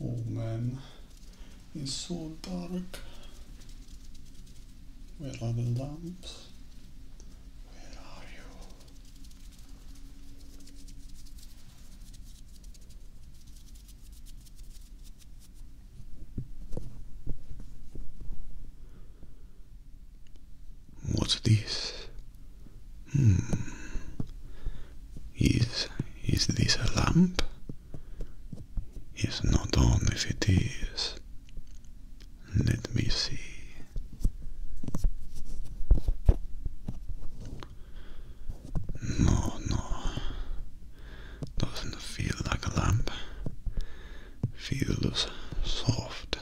Oh man, it's so dark. Where are the lamps? Where are you? What's this? Hmm. Is is this a lamp? It's not on if it is. Let me see. No, no. Doesn't feel like a lamp. Feels soft,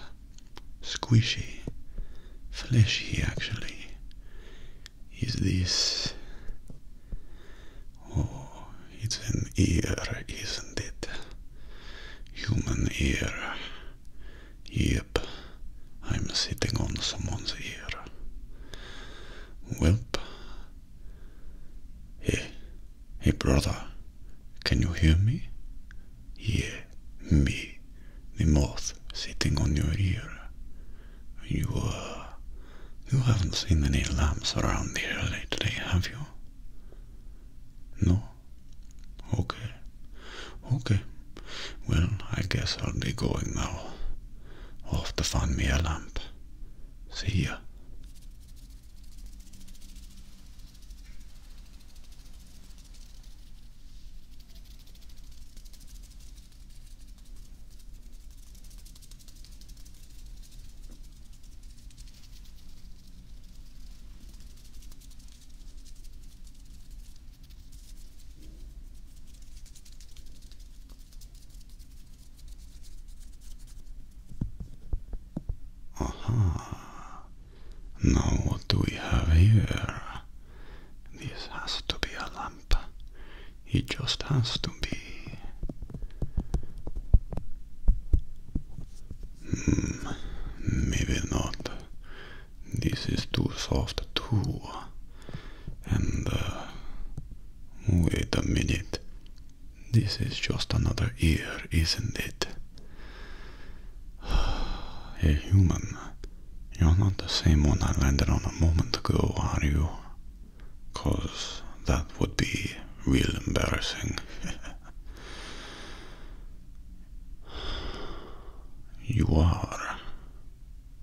squishy, fleshy actually. Is this. Oh, it's an ear, isn't it? Human ear. Yep, I'm sitting on someone's ear. Welp. Hey, hey brother, can you hear me? Yeah, me, the moth sitting on your ear. You, uh, you haven't seen any lamps around here lately, have you? No? Okay. Okay. Well, I guess I'll be going now. Off to find me a lamp. See ya. Aha. Now what do we have here? This has to be a lamp. It just has to be. Hmm, maybe not. This is too soft too. And uh, wait a minute. This is just another ear, isn't it? A human, you're not the same one I landed on a moment ago, are you? cause that would be real embarrassing. you are.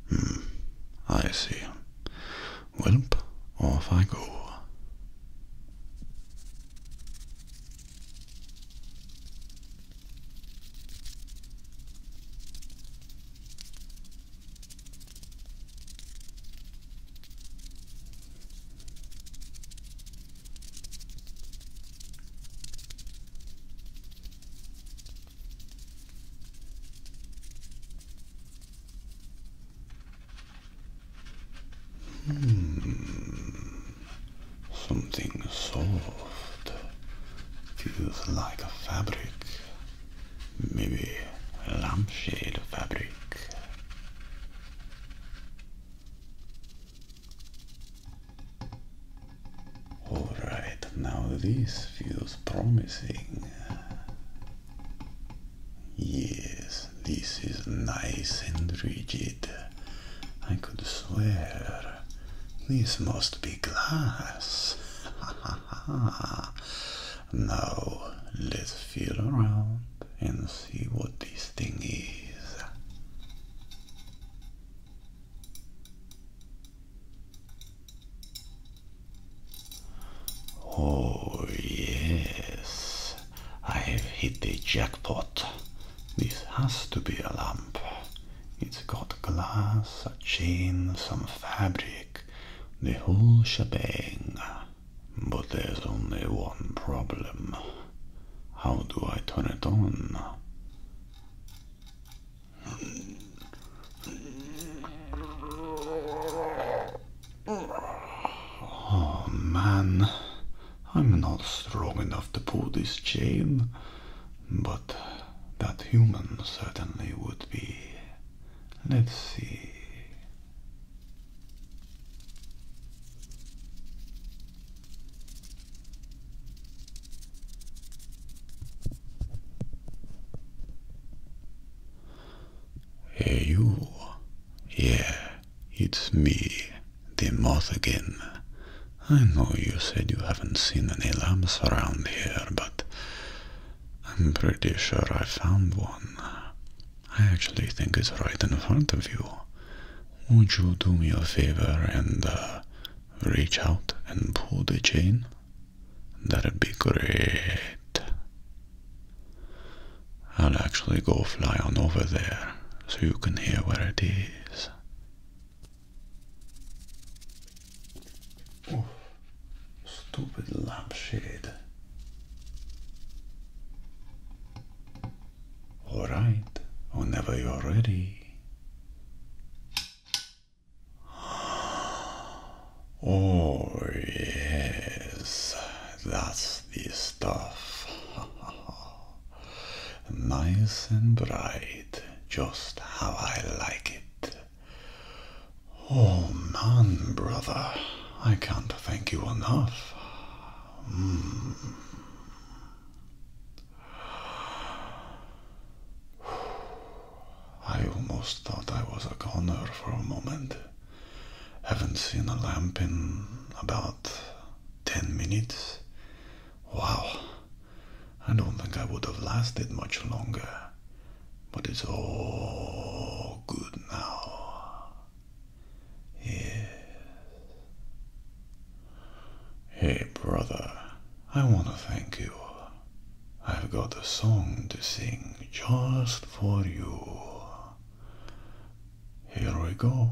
Hmm, I see. Welp, off I go. Hmm. Something soft feels like a fabric Maybe a lampshade fabric. Alright, now this feels promising. Yes, this is nice and rigid. I could swear this must be glass. Aha. Now let's feel around and see what this thing is. Oh, yes, I have hit the jackpot. This has to be a lamp. It's got glass, a chain, some fabric, the whole shebang. But there's only one problem. How do I turn it on? Oh man, I'm not strong enough to pull this chain, but that human certainly would be. Let's see. Hey you. Yeah, it's me, the moth again. I know you said you haven't seen any labs around here, but I'm pretty sure I found one. I actually think it's right in front of you. Would you do me a favor and uh, reach out and pull the chain? That'd be great. I'll actually go fly on over there so you can hear where it is. Oh, stupid lampshade. All right, whenever you're ready. Oh, yes, that's the stuff. nice and bright, just how I like it. Oh man, brother, I can't thank you enough. Hmm. I almost thought I was a goner for a moment. Haven't seen a lamp in about ten minutes. Wow, I don't think I would have lasted much longer, but it's all good now. Yes. Hey, brother, I want to thank you. I've got a song to sing just for you. Here we go.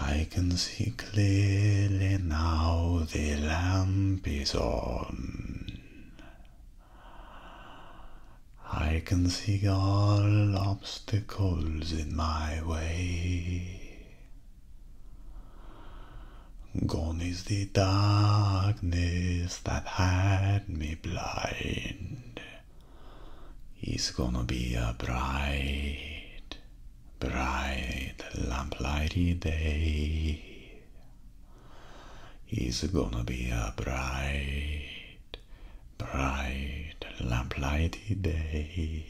I can see clearly now the lamp is on. I can see all obstacles in my way. Gone is the darkness that had me blind is gonna be a bright, bright lamplighty day. Is gonna be a bright, bright lamplighty day.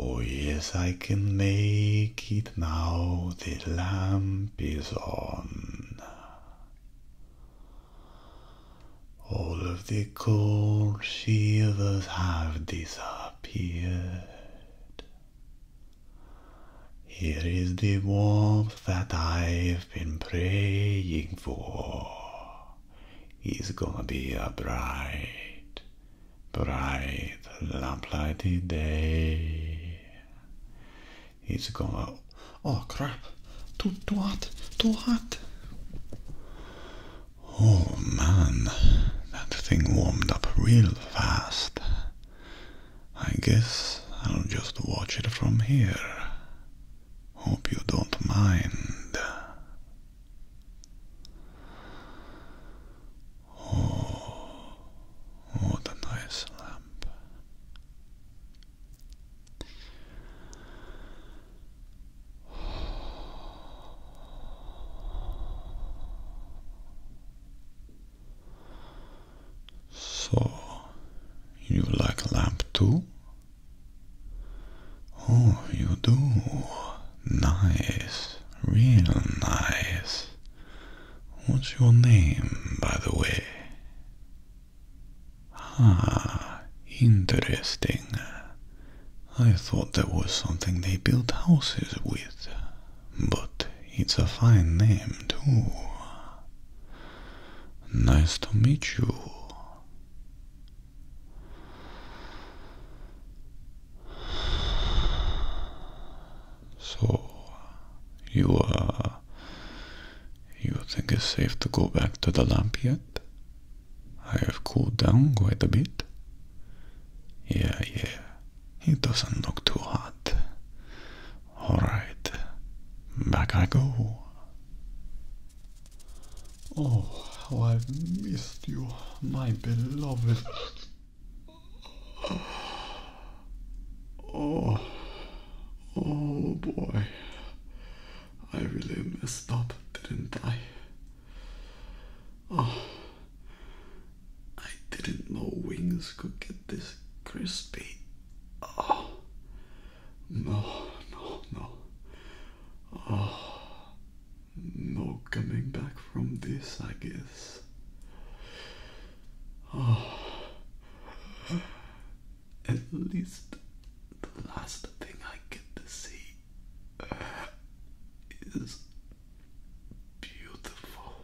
Oh, yes, I can make it now. The lamp is on. All of the cold shivers have disappeared. Here is the warmth that I've been praying for. It's gonna be a bright, bright lamplighty day. It's going, oh crap, too, too hot, too hot. Oh man, that thing warmed up real fast. I guess I'll just watch it from here. Hope you don't mind. Oh, what a nice lamp. So, you like lamp too? Oh, you do. Nice, real nice. What's your name, by the way? Ah, interesting. I thought that was something they built houses with, but it's a fine name too. Nice to meet you. So you uh you think it's safe to go back to the lamp yet? I have cooled down quite a bit. Yeah, yeah. It doesn't look too hot. Alright. Back I go. Oh, how I've missed you, my beloved. Oh, oh boy. I really messed up, didn't I? Oh, I didn't know wings could get this crispy. Oh, no, no, no. Oh, no coming back from this, I guess. Oh. At least the last thing I get to see is beautiful.